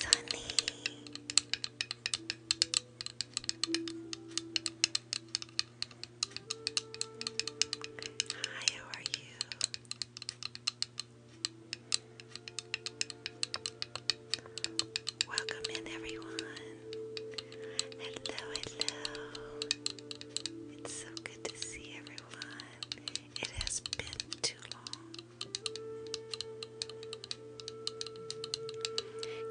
Sunny. Hi, how are you? Welcome in, everyone. Hello, hello. It's so good to see everyone. It has been too long.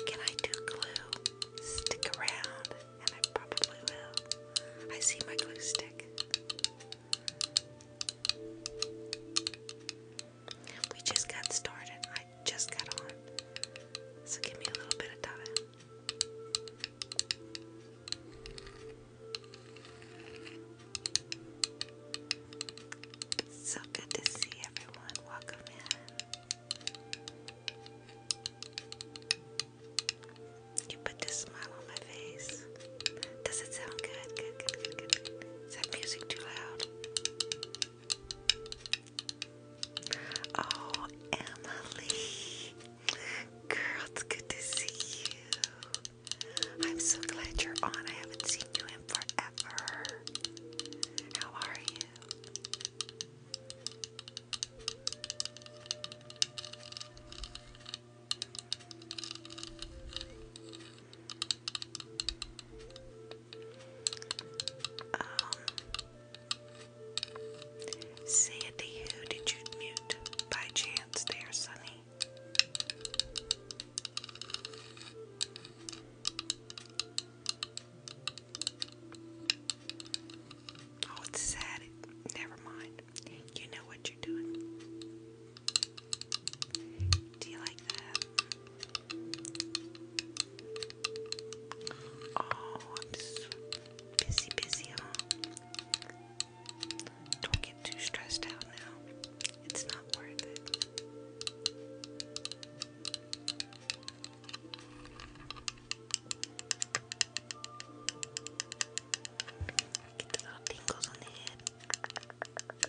Can I do glue? Stick around, and I probably will. I see my glue stick. We just got started. I just got on. So give me a little bit of time. It's so good to see everyone. Welcome in. You put this smile on my face. Does it sound good. Is that music too loud? Oh, Emily. Girl, it's good to see you. I'm so glad you're on. I haven't seen you in forever. How are you? Um, Sandy, who did you mute by chance there, Sonny? Oh, it's sad. Never mind. You know what you're doing. Do you like that? Oh, I'm so busy, busy, don't get too stressed out now. It's not worth it. Get the little on the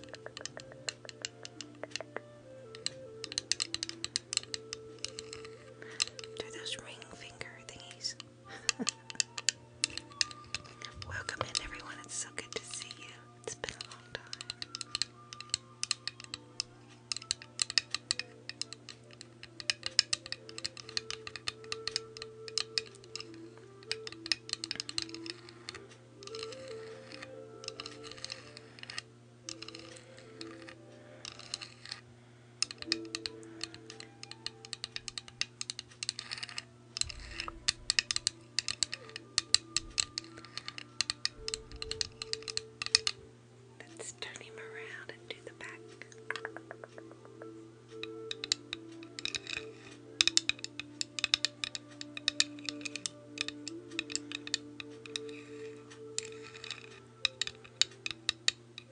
Do those ring finger thingies. Welcome in, everyone. It's so good to see you. It's been a long time. Let's turn him around and do the back. I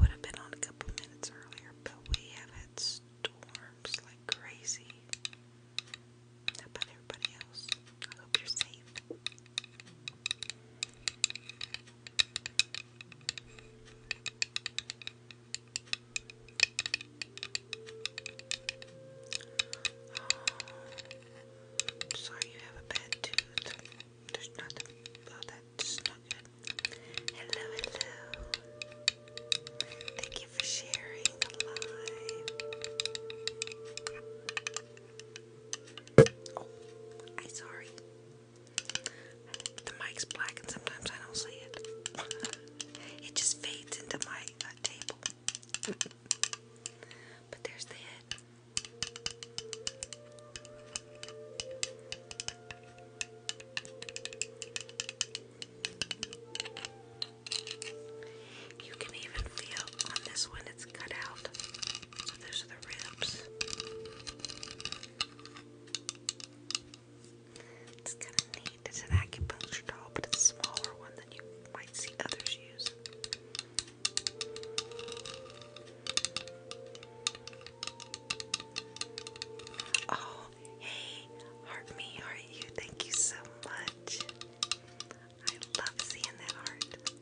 would have been on a couple minutes earlier, but we have had storms like crazy. How about everybody else? I hope you're safe. Oh, uh, sorry you have a bad tooth. There's nothing about that. Just not good. Hello, hello. Thank you for sharing Oh, I'm sorry. The mic's black and sometimes I don't see it. It just fades into my uh, table. but there's the head. You can even feel on this one it's cut out. those are the ribs. It's kind of neat it's an acupuncture doll, but it's smaller one than you might see others use. Oh, hey, heart me, heart you. Thank you so much. I love seeing that heart.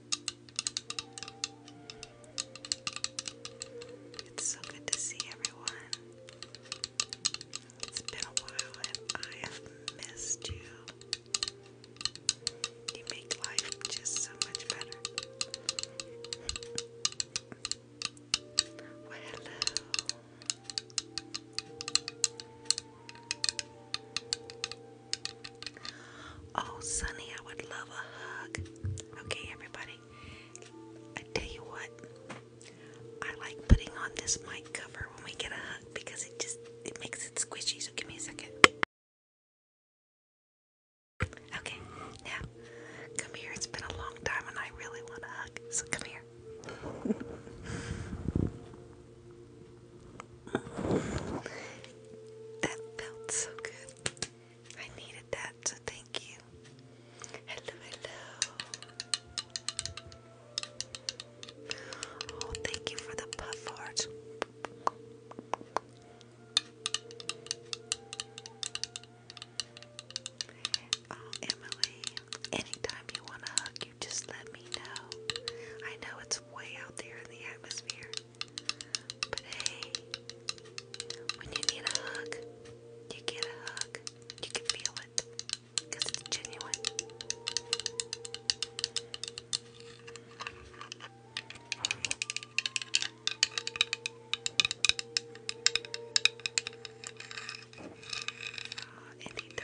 It's so good to see everyone. It's been a while and I have missed you. You make life just so much better. hello. Oh, Sonny, I would love a hug. Okay, everybody. I tell you what, I like putting on this mic cover when we get a hug because it just it makes it squishy. So give me a second. Okay, now come here. It's been a long time, and I really want a hug. So come here. that felt so good. I needed that, so thank you. Hello, hello. Oh, thank you for the puff art. Uh, Emily, anytime you want to hug, you just let me know. I know it's way out there in the atmosphere, but hey, when you need a hug, you get a hug. You can feel it because ah, anytime, anytime.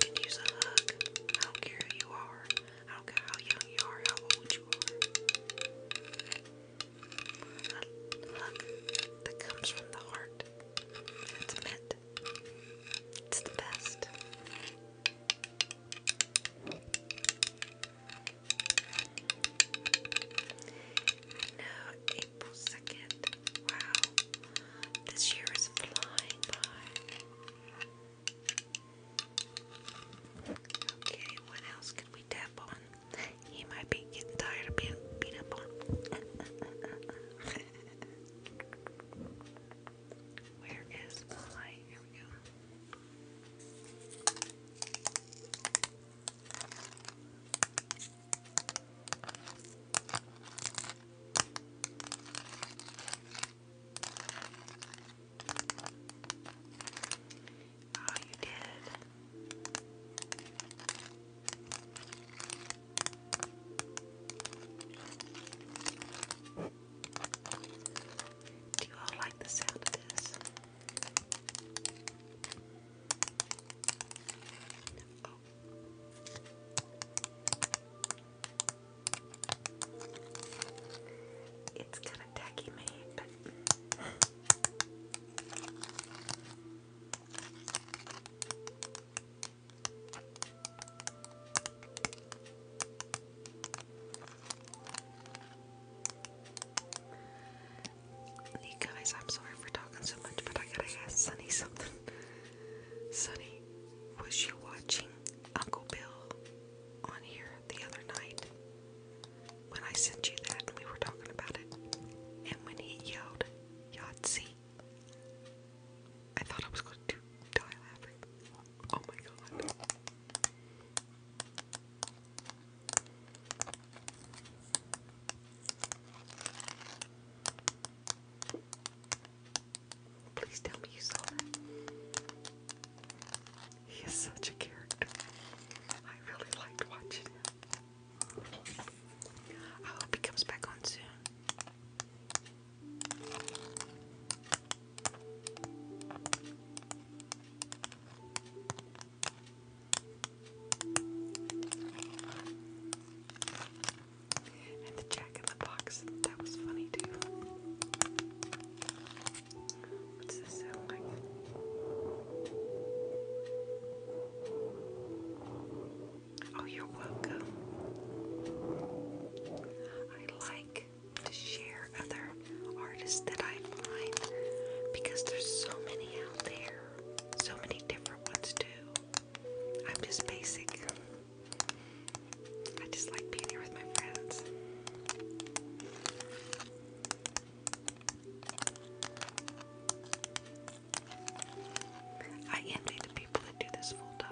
can use a hug. I don't care who you are. I don't care how young you are, how old you are a that comes from the heart. It's the best. I April 2nd. Wow. This year is flying by. Okay, what else can we tap on? He might be getting tired of being beat up on. Where is the Here we go. Oh, you Do you all like the sound of this? Oh. It's kind of tacky made, you guys, I'm sorry for talking so much, but I gotta ask Sunny something. Sunny, was you watching Uncle Bill on here the other night? when I sent you that we were talking about it. And when he yelled Yahtzee, I thought I was going to die laughing. Oh my god. Please tell me you saw that. He is such a character. I really liked watching him. I hope he comes back on soon. And the jack in the box, that was funny too. What's this sound like? Oh, you're welcome. I like to share other artists that I find because there's so many out there, so many different ones too. I'm just basic. I just like being here with my friends. I envy the people that do this full time.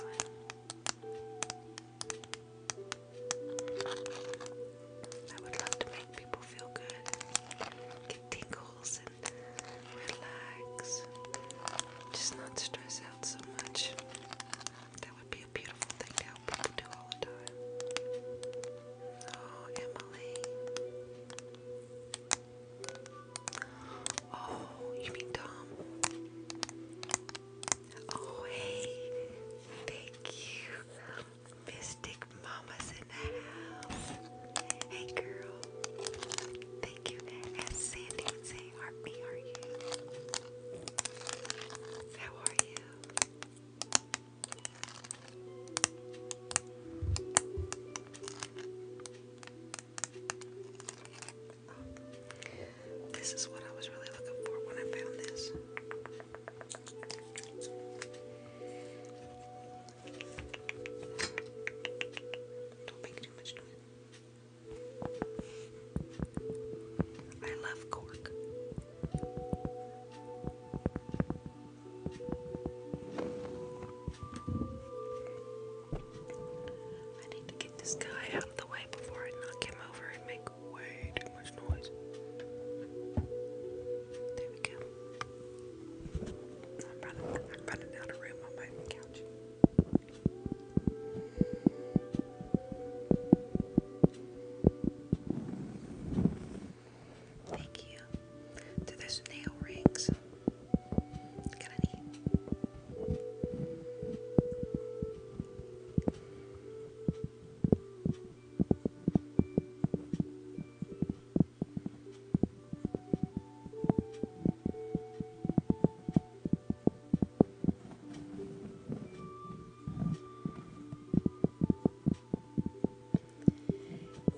I would love to make people feel good, get tingles, and relax. Just not stress out so much. That would be a beautiful thing to help people do all the time. Oh, Emily. Oh, you mean Tom? Oh, hey. Thank you. Mystic Mama's in the house. Hey, girl. Thank you. As Sandy say, Art are you? How are you? This is what I was really looking for when I found this. Don't make too much noise. I love cork. I need to get this guy out of the way before I knock him over and make way too much noise. There we go. I'm running, am running out of room on my couch. Thank you. Do those nail rings?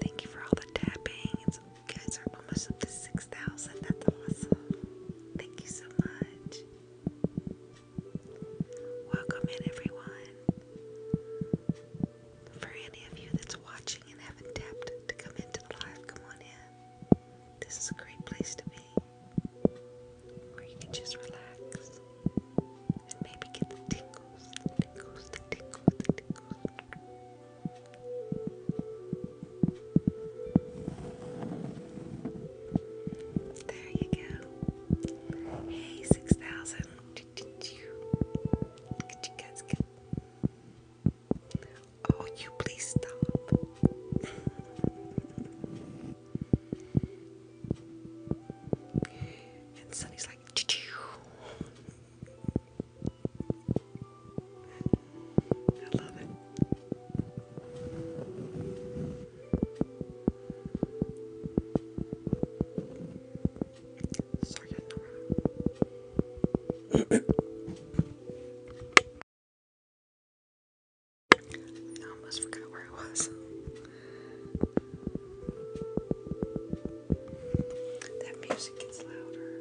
Thank you for all the tapping. You guys are almost up to 6,000. That's awesome. Thank you so much. Welcome everyone. For any of you that's watching and haven't tapped to come into the live, come on in. This is a great place to be where you can just relax and maybe get the tingles. There you go. Hey, 6,000. Oh, you please stop. and Sunny's like, I love it. Sorry, I almost forgot where I was. That music gets louder.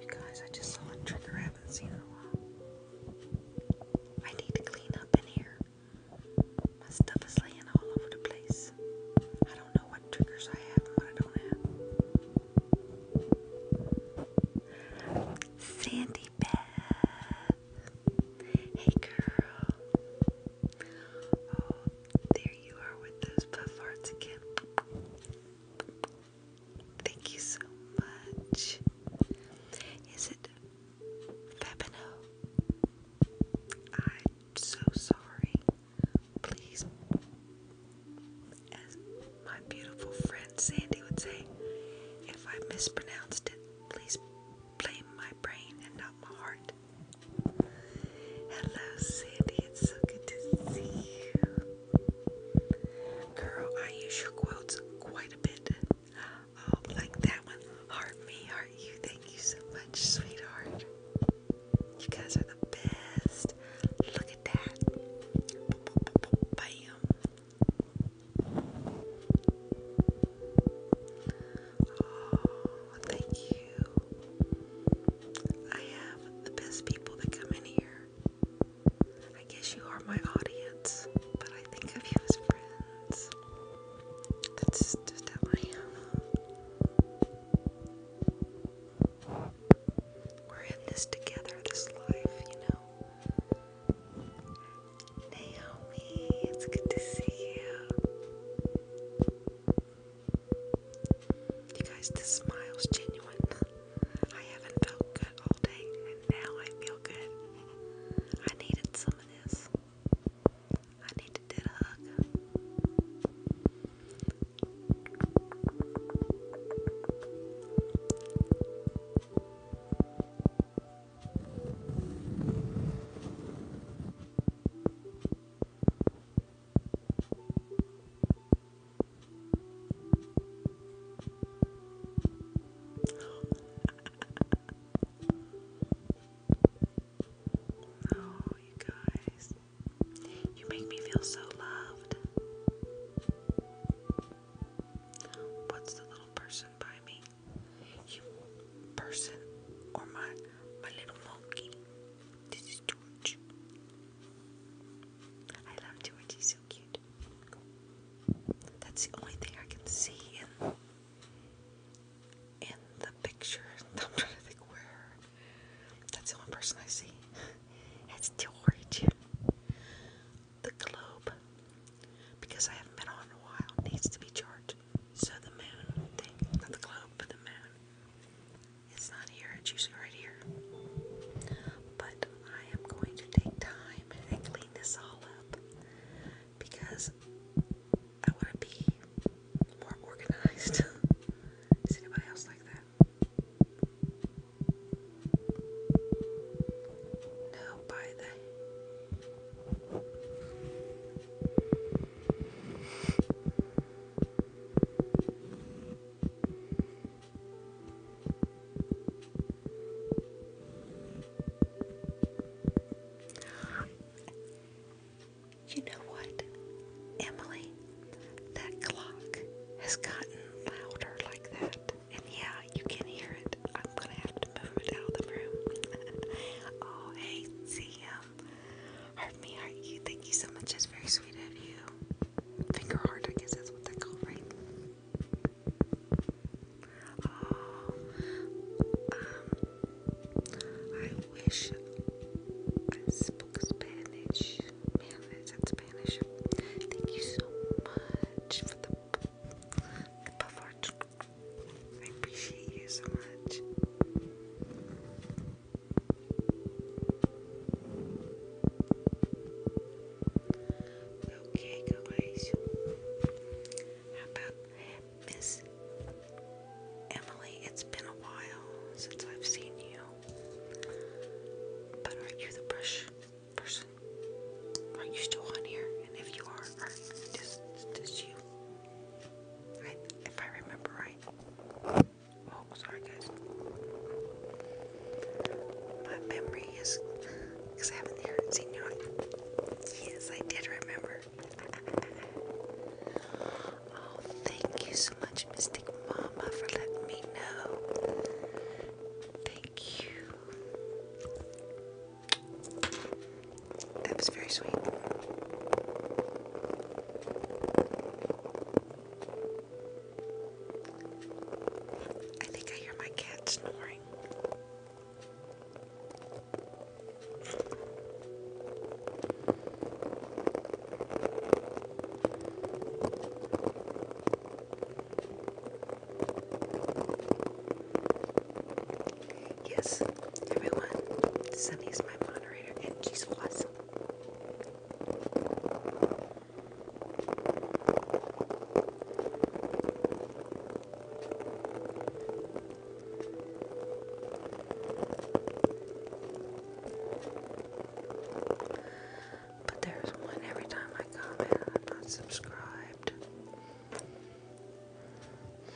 You guys, I just saw a trigger haven't seen in a while. I need to clean up in here. My stuff is laying all over the place. I don't know what triggers I have and what I don't have. Sandy Beth. Hey girl. Oh, there you are with those puff hearts again. Thank you so much. Is it Fabino? I'm so sorry. Please, as my beautiful friend Sandy would say, if I mispronounced it, Please blame my brain and not my heart. Hello, Sandy. It's so good to see you. Girl, I use your quotes quite a bit. Oh, like that one. Heart me, heart you. Thank you so much, sweetheart. You guys are the best. Look at that. Bam. Oh, thank you. I have the best people that come in here. I guess you are my audience, but I think of you as friends. That's just how I am. We're in this together, this life, you know. Naomi, it's good to see you. You guys, this smile's genuine. I haven't felt good all day, and now I feel good. I needed some of this. I needed that hug. No, you guys. You make me feel so loved. What's the little person by me? you person or my my little monkey. This is George. I love George, he's so cute. That's the only thing I can see in in the picture. I'm trying to think where that's the only person I see. It's George. The globe because I haven't been on in a while, needs to be charged. So the moon not the globe, but the moon, it's not here, it's usually right here. But I am going to take time and clean this all up because I want to be more organized. Is anybody else like that? No, by the you know what, Emily? That clock has gotten louder like that. And yeah, you can hear it. I'm gonna have to move it out of the room. oh, hey, CM. Heart me, Thank you so much. That's very sweet of you. Finger heart, I guess that's what they call, right? Oh, um, I wish I spoke Spanish. Spanish? Thank you so much for the buffard. I appreciate you so much. Okay, guys. How about Miss Emily? It's been a while since I've seen you. But are you the brush person? Are you still on here? And if you are, are this you? if I remember right. Oh, sorry guys. My memory is because I have Yes, I did remember. oh, thank you so much, Mystic Mama, for letting me know. Thank you. That was very sweet. I think I hear my cat snoring. Yes, everyone, Sunny's my moderator, and she's awesome. But there's one every time I comment, I'm not subscribed.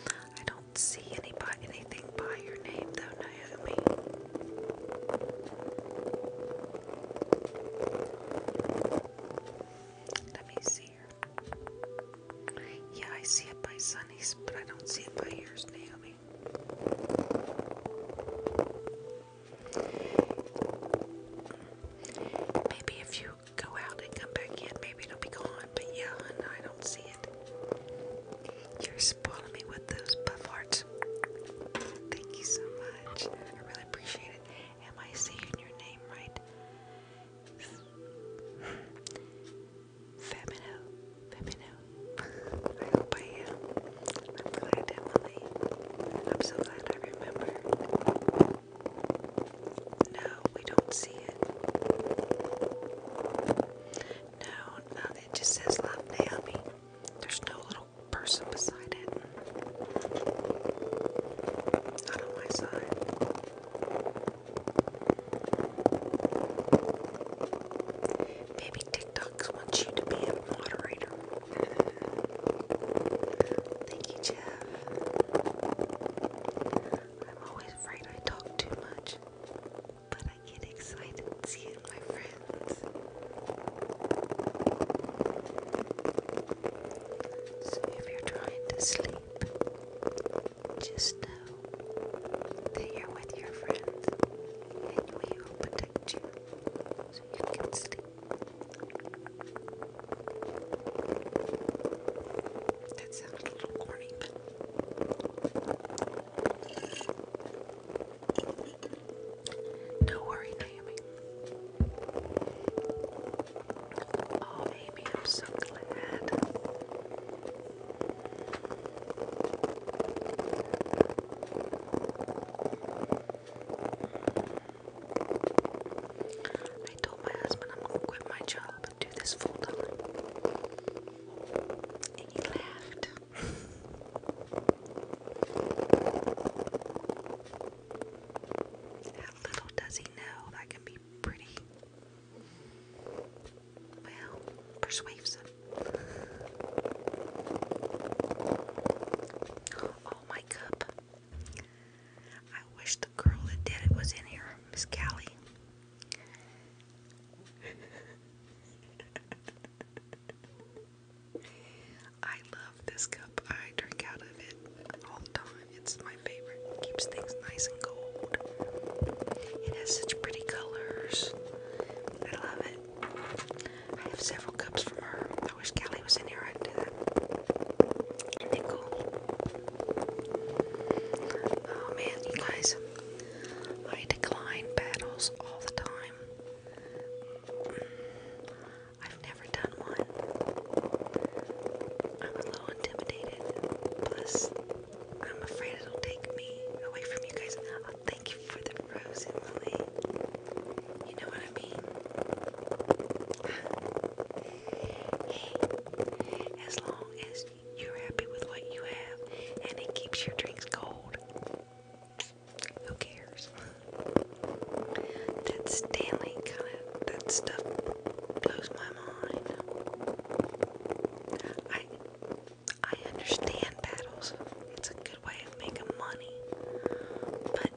I don't see any by, anything by your name though, Naomi. Let me see here. Yeah, I see it by Sunny's, but I don't see it by yours, Naomi. Maybe if you go out and come back in. Maybe it'll be gone, but yeah, I don't see it. You're spoiling me with those puff Thank you so much. I really appreciate it. Am I saying your name right? Femino. Femino. I hope I am. I'm glad, Emily. I'm so glad I remember. No, we don't see it. No, no, it just says Love Naomi. There's no little person beside it. Not on my side. Maybe TikToks wants you to be a moderator. Thank you, Jeff. I'm always afraid I talk too much, but I get excited seeing my friends. So if you're trying to sleep, just know that you're with your friends and we will protect you so you can sleep. That sounded a little corny, worry, Naomi. Oh, Amy, I'm so glad. I told my husband I'm gonna quit my job and do this full time. And he laughed. How little does he know that can be pretty well persuasive. Oh my cup. I wish the girl that did it was in here, Miss Callie. I love this cup. I drink out of it all the time. It's my favorite. keeps things nice and cold. It has such pretty colors. I love it. I have several cups from her. I wish Callie was in here. I'd do that. Isn't Oh man, you guys, I decline battles all the time. Mm. I've never done one. I'm a little intimidated. Plus, I'm afraid it'll take me away from you guys. Oh, thank you for the rose, Emily. You know what I mean? as long as you're happy with what you have and it keeps your drinks cold. Who cares? That Stanley kind of, that stuff blows my mind. I, I understand battles. It's a good way of making money. But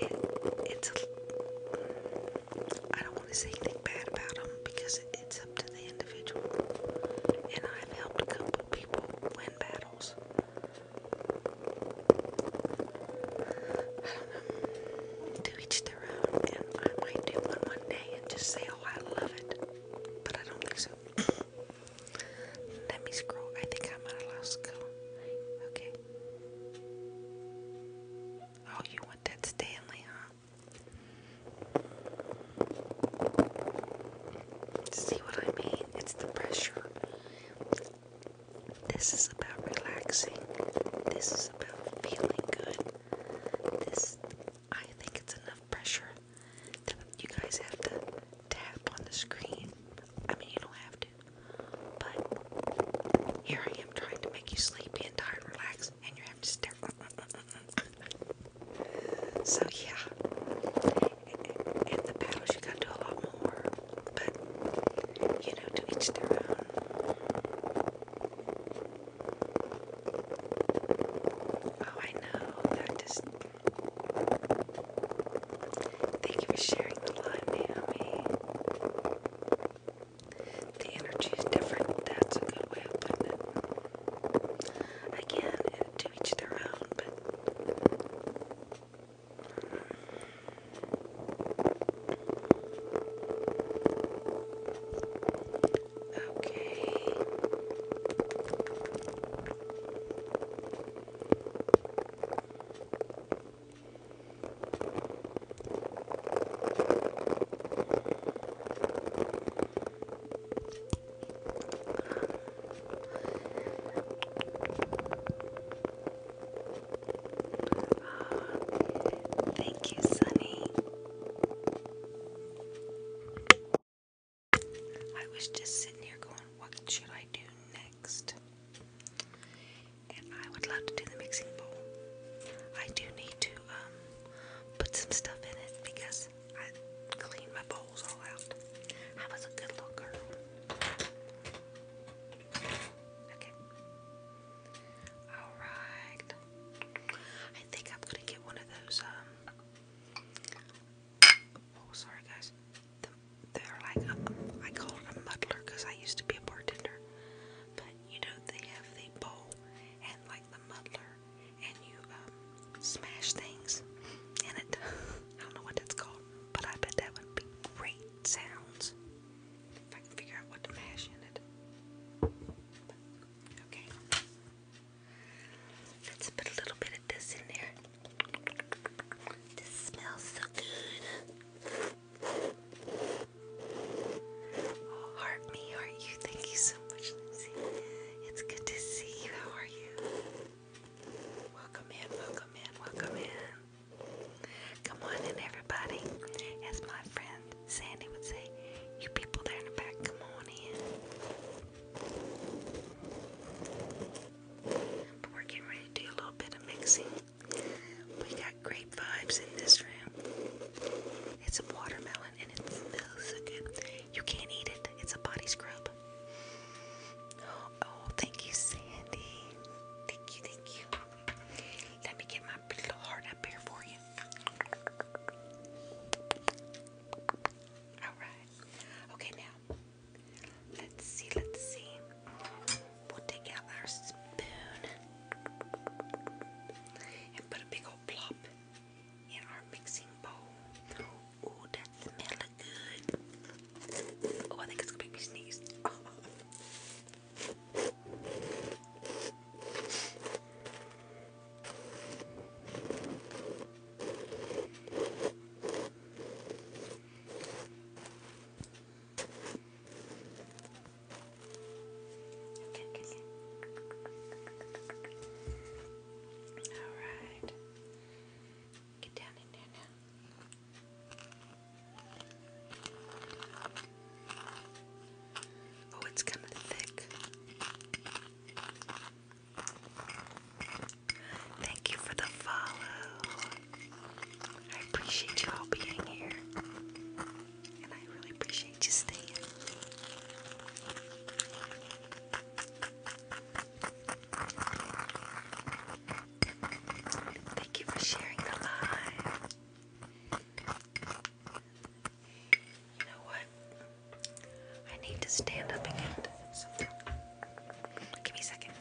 it, it's I don't want to say anything bad about them because it's up to the individual. And I've helped a couple people win battles. I don't know. To each their own. And I might do one one day and just say, oh, I love it. But I don't think so. Let me scroll. I think I might have lost Okay. Oh, you want that Stanley, huh? See what I mean? It's the pressure. This is about relaxing. This is about feeling good. This, I think it's enough pressure you guys have to tap on the screen. I mean, you don't have to. But here I am trying to make you sleepy and tired, relax, and you have to stare. so yeah, and the paddles you gotta a lot more. But you know, to each their own. Oh, I know that Thank you for sharing the live, Naomi. The energy is different. That's a good way of putting it. Again, to each their own, Okay thank you, Sunny. I was just sitting here going, what should I do next? and I would love to do the mixing bowl. I do need to um, put some stuff in it because I clean my bowls all out. I was a good little girl. Okay. Alright. I think I'm gonna get one of those, um, oh sorry guys. they're like a, I call it a muddler because I used to be a bartender you know they have the bowl and like the muddler, and you um, smash things in it. I don't know what that's called, but I bet that would be great sounds if I can figure out what to mash in it. Okay, let's put a little bit of this in there. This smells so good. Oh, me, heart you. Thank you so much, Lindsay. It's good to see you. How are you? Welcome in, welcome in, welcome in. Come on in, everybody. As my friend Sandy would say, you people there in the back, come on in. But we're getting ready to do a little bit of mixing. We got grape vibes in this room. It's a watermelon and it smells so good. You can't eat it, it's a body scrub. oh thank you, Sandy. Thank you, thank you. Let me get my little heart up here for you. Alright. Okay, now. Let's see, let's see. We'll take out our spoon and put a big old plop in our mixing bowl. Oh, that smells good. Oh, I think it's gonna make me sneeze. Alright. Get down in there now. Oh, it's kind of thick. Thank you for the follow. I appreciate you all being here and I really appreciate you staying. Thank you for sharing the live. You know what? I need to stand up and Give me a second.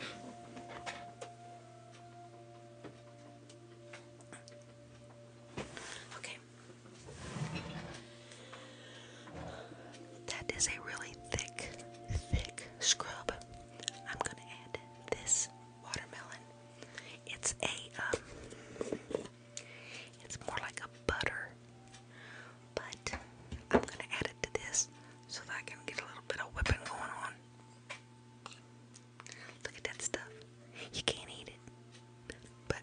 Okay. That is a really thick, thick scrub. I'm gonna add this watermelon. It's a um, it's more like a butter, but I'm gonna add it to this so that I can get a little bit of whipping going on. Look at that stuff. You can't eat it. But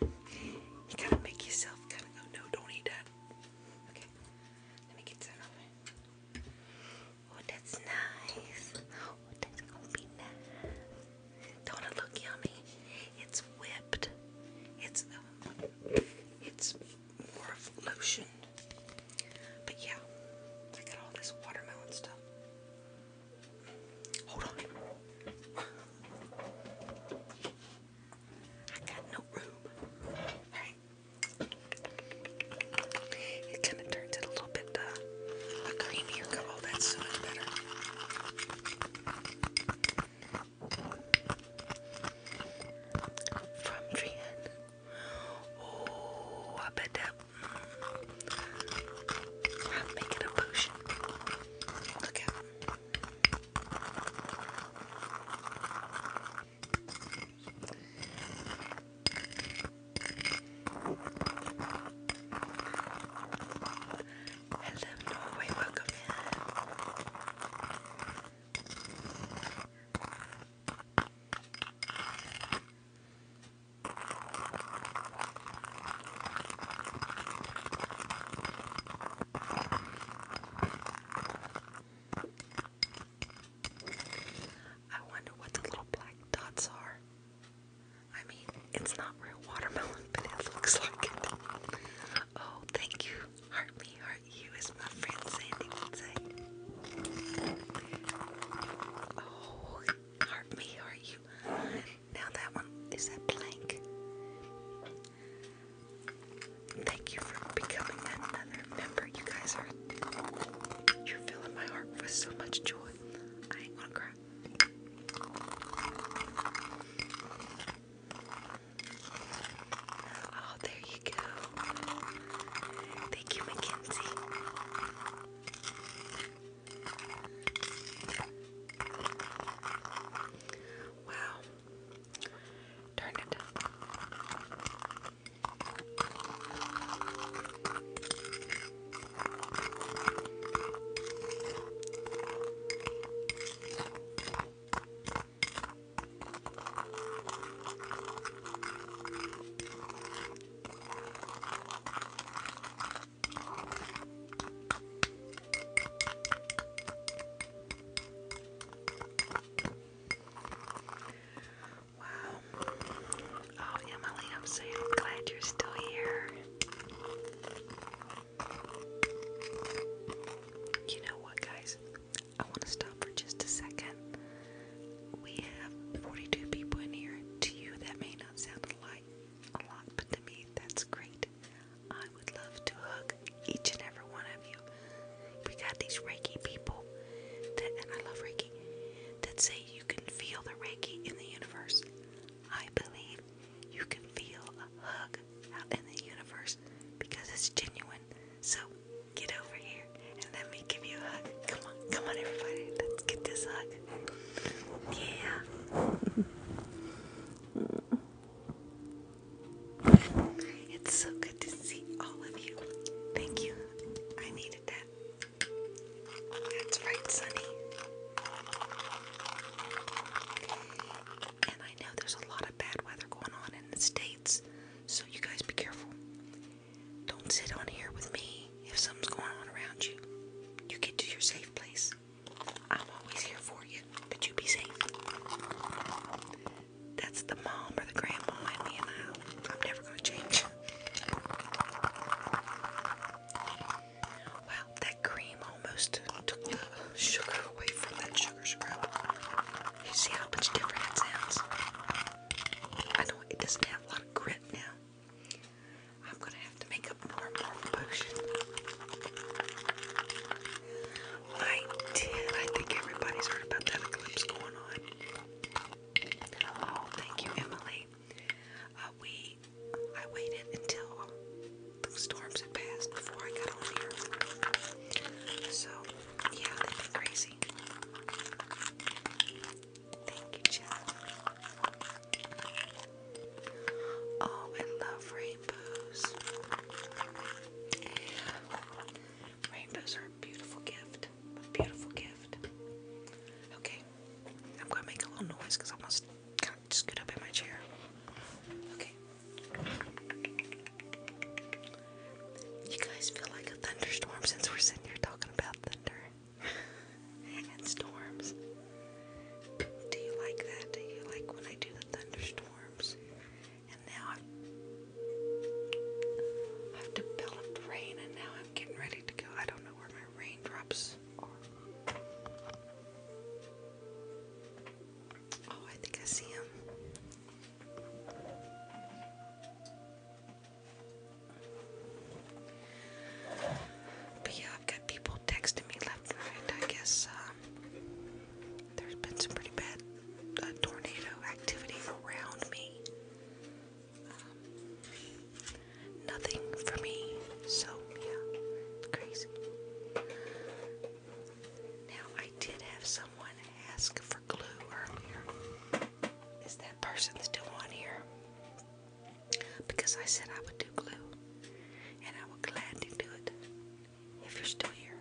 you gotta make yourself kinda go, no, don't eat that. Okay. Let me get that over. Oh, that's nice. Oh, that's gonna be nice. Don't it look yummy? It's whipped. It's um, it's more of lotion. But yeah, look at all this watermelon stuff. Hold on. I got no room. It kind of turns it a little bit uh, creamier color. Oh, that's so much better. From Jan. Oh, I bet that I'm making a potion. Look out. Hello, Norway. Welcome in. I wonder what the little black dots are. I mean, it's not real watermelon, but it looks like it. Oh, thank you. Heart me, heart you, as my friend Sandy would say. Oh, heart me, heart now that one is that blank. Thank you for becoming another member. You guys are you're filling my heart with so much joy. I ain't gonna cry. Oh, there you go. Thank you, Mackenzie. Wow. Turn it up. Wow. Oh, Emily, I'm so glad you're still here. You know what, guys? I want to stop for just a second. We have 42 people in here. To you, that may not sound a a lot, but to me, that's great. I would love to hug each and every one of you. We got these Reiki people, and I love Reiki, that say you can feel the Reiki in the universe. I believe you can feel a hug out in the universe because it's genuine. So get over here and let me give you a hug. Come on, come on, everybody. Let's get this hug. Yeah. It's so good to see all of you. Thank you. I needed that. That's right, Sunny. And I know there's a lot of bad weather going on in the States, so you guys be careful. Don't sit on here with me if something's going on around you, you get to your safe place. I'm always here for you, but you be safe. That's the mom or the grandma in me, and I'm never going to change. Wow, that cream almost took the sugar away from that sugar scrub. You see how much different it sounds? I know it doesn't have a lot of grit now, I'm gonna have to make up more morph I did. I think everybody's heard about that eclipse going on. Oh, thank you, Emily. Uh, we, I waited until the storms had passed before I got on here. So, yeah, that'd be crazy. Thank you, Chad. Oh, I love rainbows. Rainbows are a beautiful gift. A beautiful gift. Okay, I'm gonna make a little noise because I almost scoot up in my chair. Okay. You guys feel like a thunderstorm since we're sitting here talking about thunder. and storms. Do you like that? Do you like when I do the thunderstorms? And now I've, developed rain, and now I'm getting ready to go. I don't know where my raindrops are. Oh, I think I see him. yeah, I've got people texting me left and right. I guess um, there's been some pretty bad uh, tornado activity around me. Um, nothing for me, so yeah, crazy. Now, I did have someone ask for glue earlier. Is that person still on here? because I said I would do glue, and I would glad to do it if you're still here.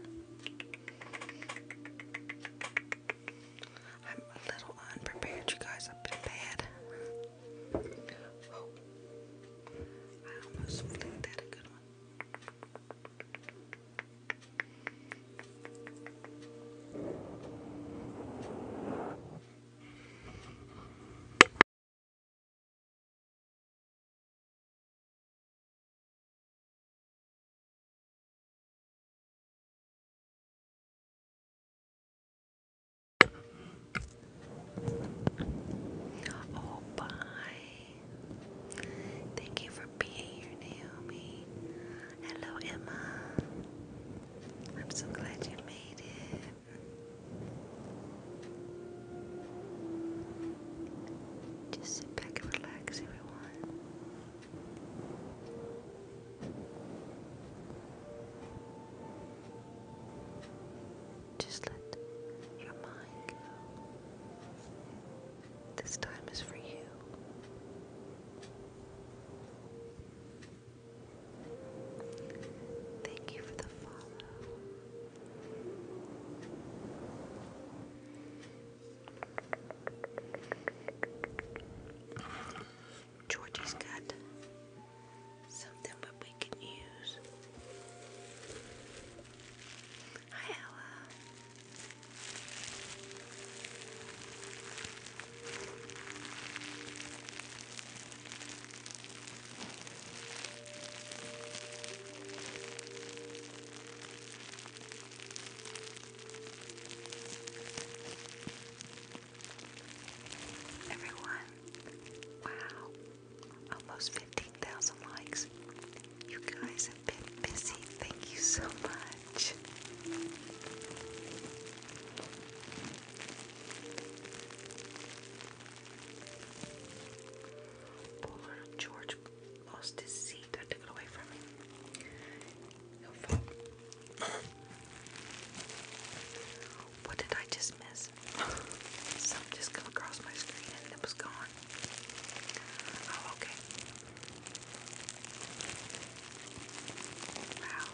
I'm a little unprepared, you guys. I've been bad. Oh. I almost think that a good one. Oh, bye. Thank you for being here, Naomi. Hello, Emma. I'm so glad you made it. Just sit back and relax, everyone. Just let your mind go. This time is for you. Thank you for the follow. Georgie's got something that we can use. Hi, Ella. Everyone, wow, almost 15,000 likes. You guys have busy. Thank you so much. George lost his seat. I took it away from him. what did I just miss? Something just come across my screen and it was gone. Oh, okay. Wow.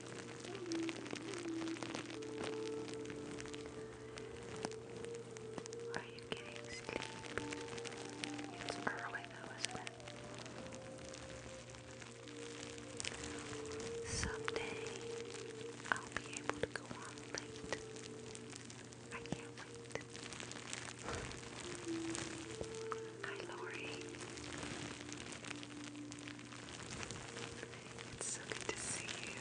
Are you getting sleep? It's early though, isn't it? Someday I'll be able to go on late. I can't wait. Hi, Lori. It's so good to see you.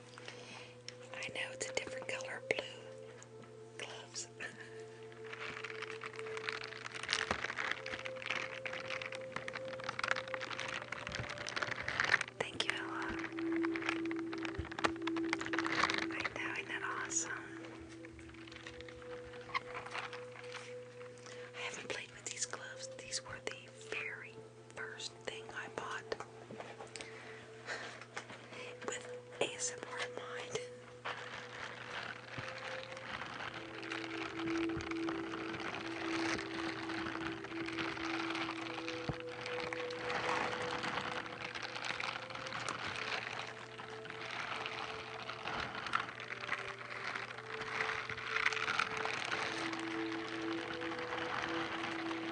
I know it's a different color blue gloves. Thank you, I know, isn't that awesome? I haven't played with these gloves. These were the very first thing I bought with ASMR in mind.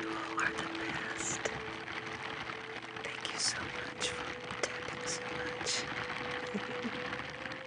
You are the best. Thank you so much for tapping so much.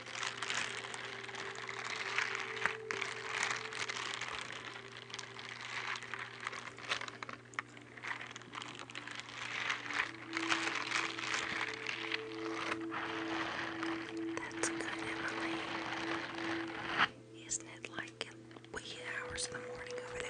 That's good, Emily. Isn't it like wee hours in the morning over there?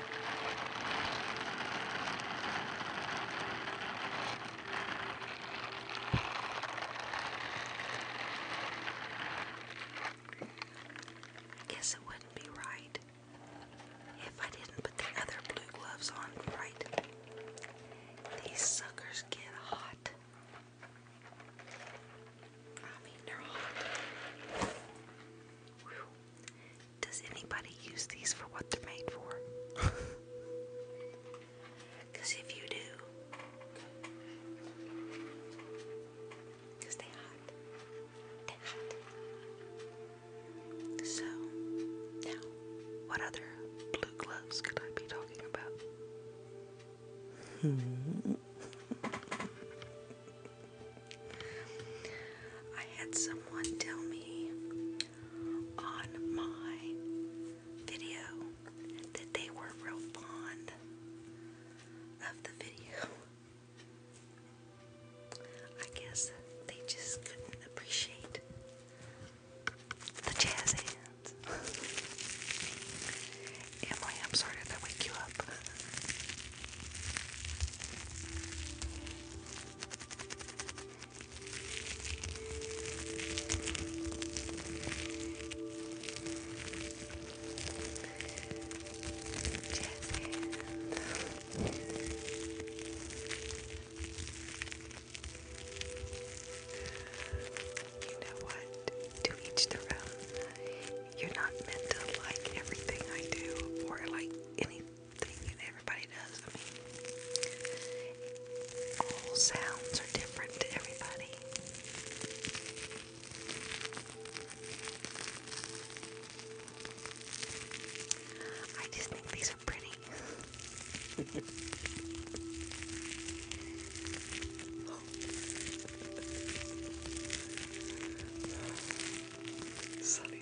Guess it wouldn't be right if I didn't put the other blue gloves on right. These suckers get hot. I mean, they're hot. Does anybody use these for what they're made for? Because if you do, because they hot, they hot. So now, what other blue gloves could I be talking about? Hmm. I had someone tell me on my video that they were real fond of the video. I guess they just couldn't appreciate the jazz hands. Emily, I'm sorry if I wake you up. You know what? To each their own. You're not meant to like everything I do or like anything thing and everybody does. I mean, all sounds are different to everybody. I just think these are pretty. Sunny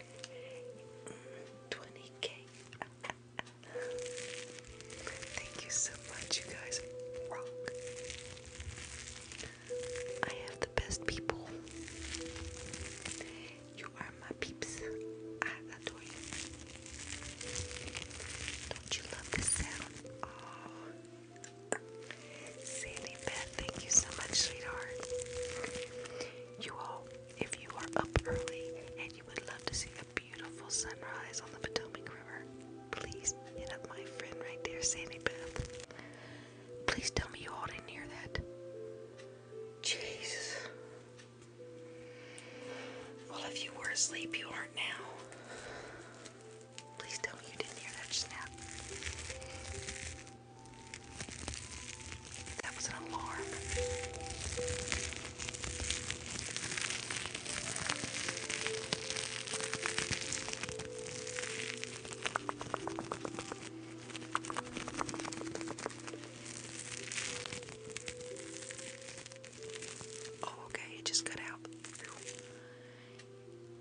20k. Thank you so much, you guys rock. I have the best people. You are my peeps. I adore you. Don't you love the sound? Oh. Sandy Beth, thank you so much, sweetheart. You all if you are up early and you would love to see a beautiful sunrise on the Potomac River, please hit up my friend right there, Sandy Beth. Please tell me you all didn't hear that. Jesus. Well, if you were asleep, you aren't now. Please tell me you didn't hear that snap. That was an alarm. Oh, okay, it just cut out.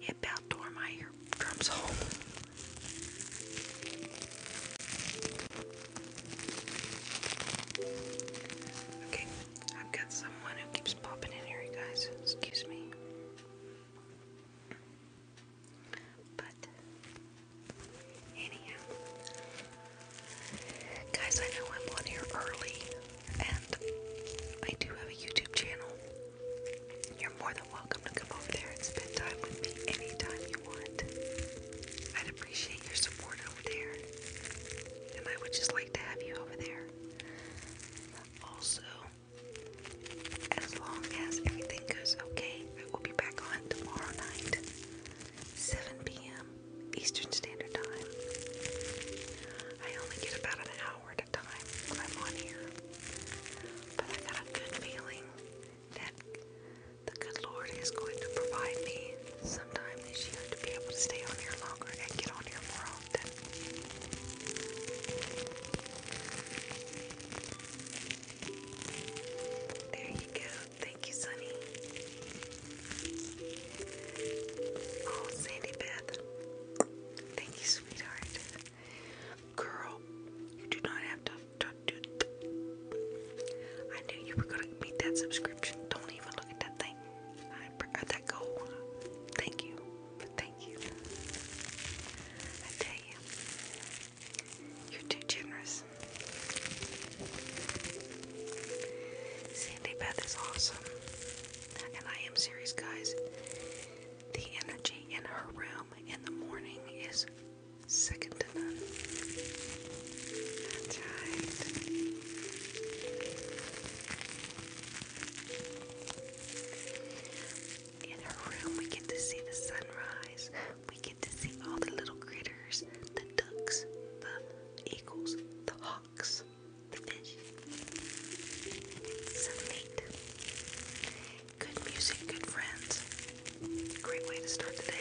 It about tore my eardrums home. Okay, I've got someone who keeps popping in here, guys. Excuse me. But, anyhow, guys, I know I'm on here early, and I do have a YouTube channel. You're more than welcome to come over there and spend time with me anytime you want. I'd appreciate your support over there, and I would just like to have you over there. Also, as long as everything goes okay, I will be back on tomorrow night, 7 p.m. Eastern Standard Time. I only get about an hour at a time when I'm on here, but I got a good feeling that the good Lord is going to provide me sometime this year to be able to stay on here longer and get on here more often. There you go. Thank you, Sunny. Oh, Sandy Beth. Thank you, sweetheart. Girl, you do not have to I knew you were gonna beat that subscription. Don't even look at that thing. I uh, that goal. Thank you. Thank you. I tell you, you're too generous. Sandy Beth is awesome. And I am serious, guys. The energy in her room in the morning is Second to none. That's right. In her room, we get to see the sunrise. We get to see all the little critters the ducks, the eagles, the hawks, the fish. so neat. Good music, good friends. Great way to start the day.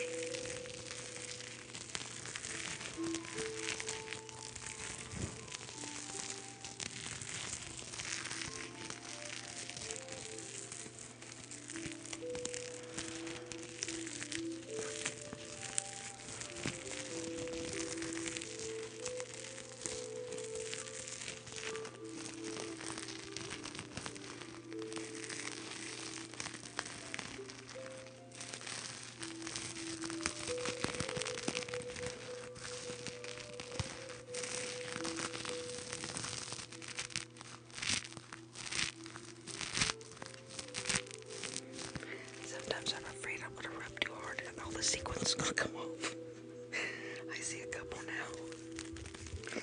Sometimes I'm afraid I'm gonna rub too hard and all the sequins is gonna come off. I see a couple now.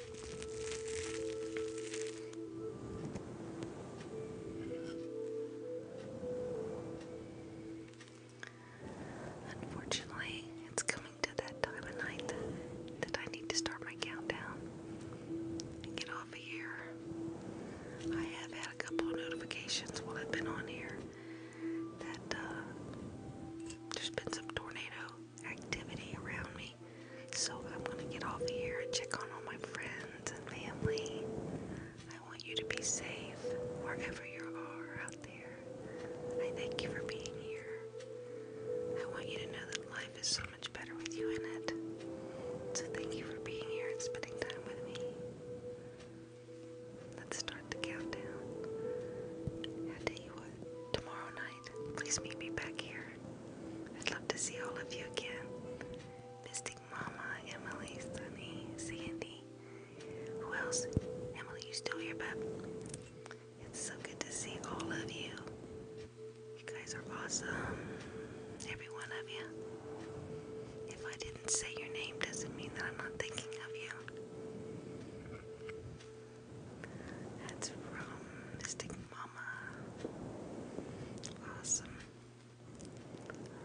Unfortunately, it's coming to that time of night that, I need to start my countdown and get off here. I have had a couple notifications while I've been on here that uh, there's been some tornado activity around me. So I'm gonna get off here and check on all my friends and family. I want you to be safe wherever you are out there. I thank you for being here. I want you to know that life is so much better with you in it. So thank you for being here and spending time with me. Let's start the countdown. I tell you what, tomorrow night, please meet me back here. I'd love to see all of you again. Mystic Mama, Emily, Sunny, Sandy. Who else? Emily, you still here, Bub? It's so good to see all of you. You guys are awesome. Every one you. If I didn't say your name, doesn't mean that I'm not thinking of you. That's from Mystic Mama. Awesome.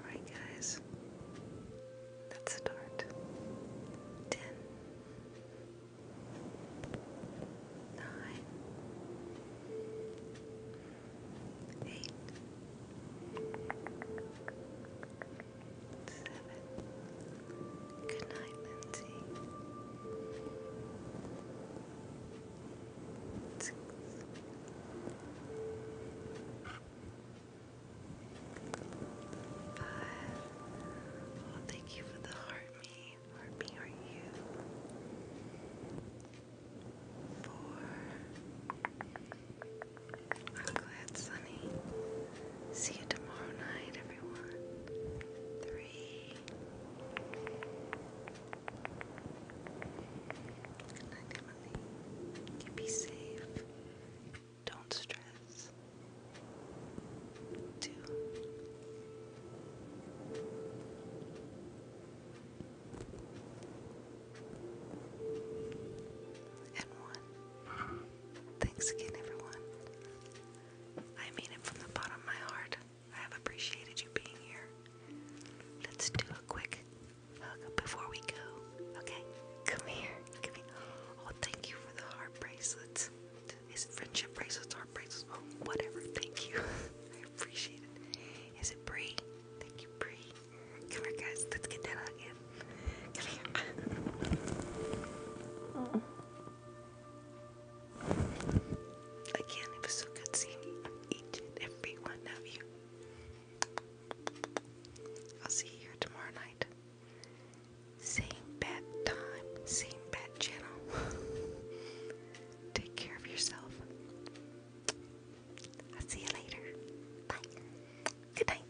Alright, guys. Let's start. Ten. Good night, Lindsay. Five. thank you for the heart me. Heart me, are you? Four. I'm glad, Sunny. See you tomorrow night, everyone. Three. Good night, Emily. You be safe. Don't stress. Do. And one. Thanks again, everyone. I mean it from the bottom of my heart. I have appreciated you being here. Let's do a quick hug before we go. Okay? Come here. Oh, thank you for the heart bracelets. Is it friendship bracelets, heart bracelets? Oh, whatever. Thank you. I appreciate it. Is it Bree? Thank you, Bree. Come here, guys. Let's get that hug in. Come here. Oh. Again, it was so each and every one of you. I'll see you here tomorrow night. Same bad time, same bad channel. Take care of yourself. I'll see you later. Bye. Good night.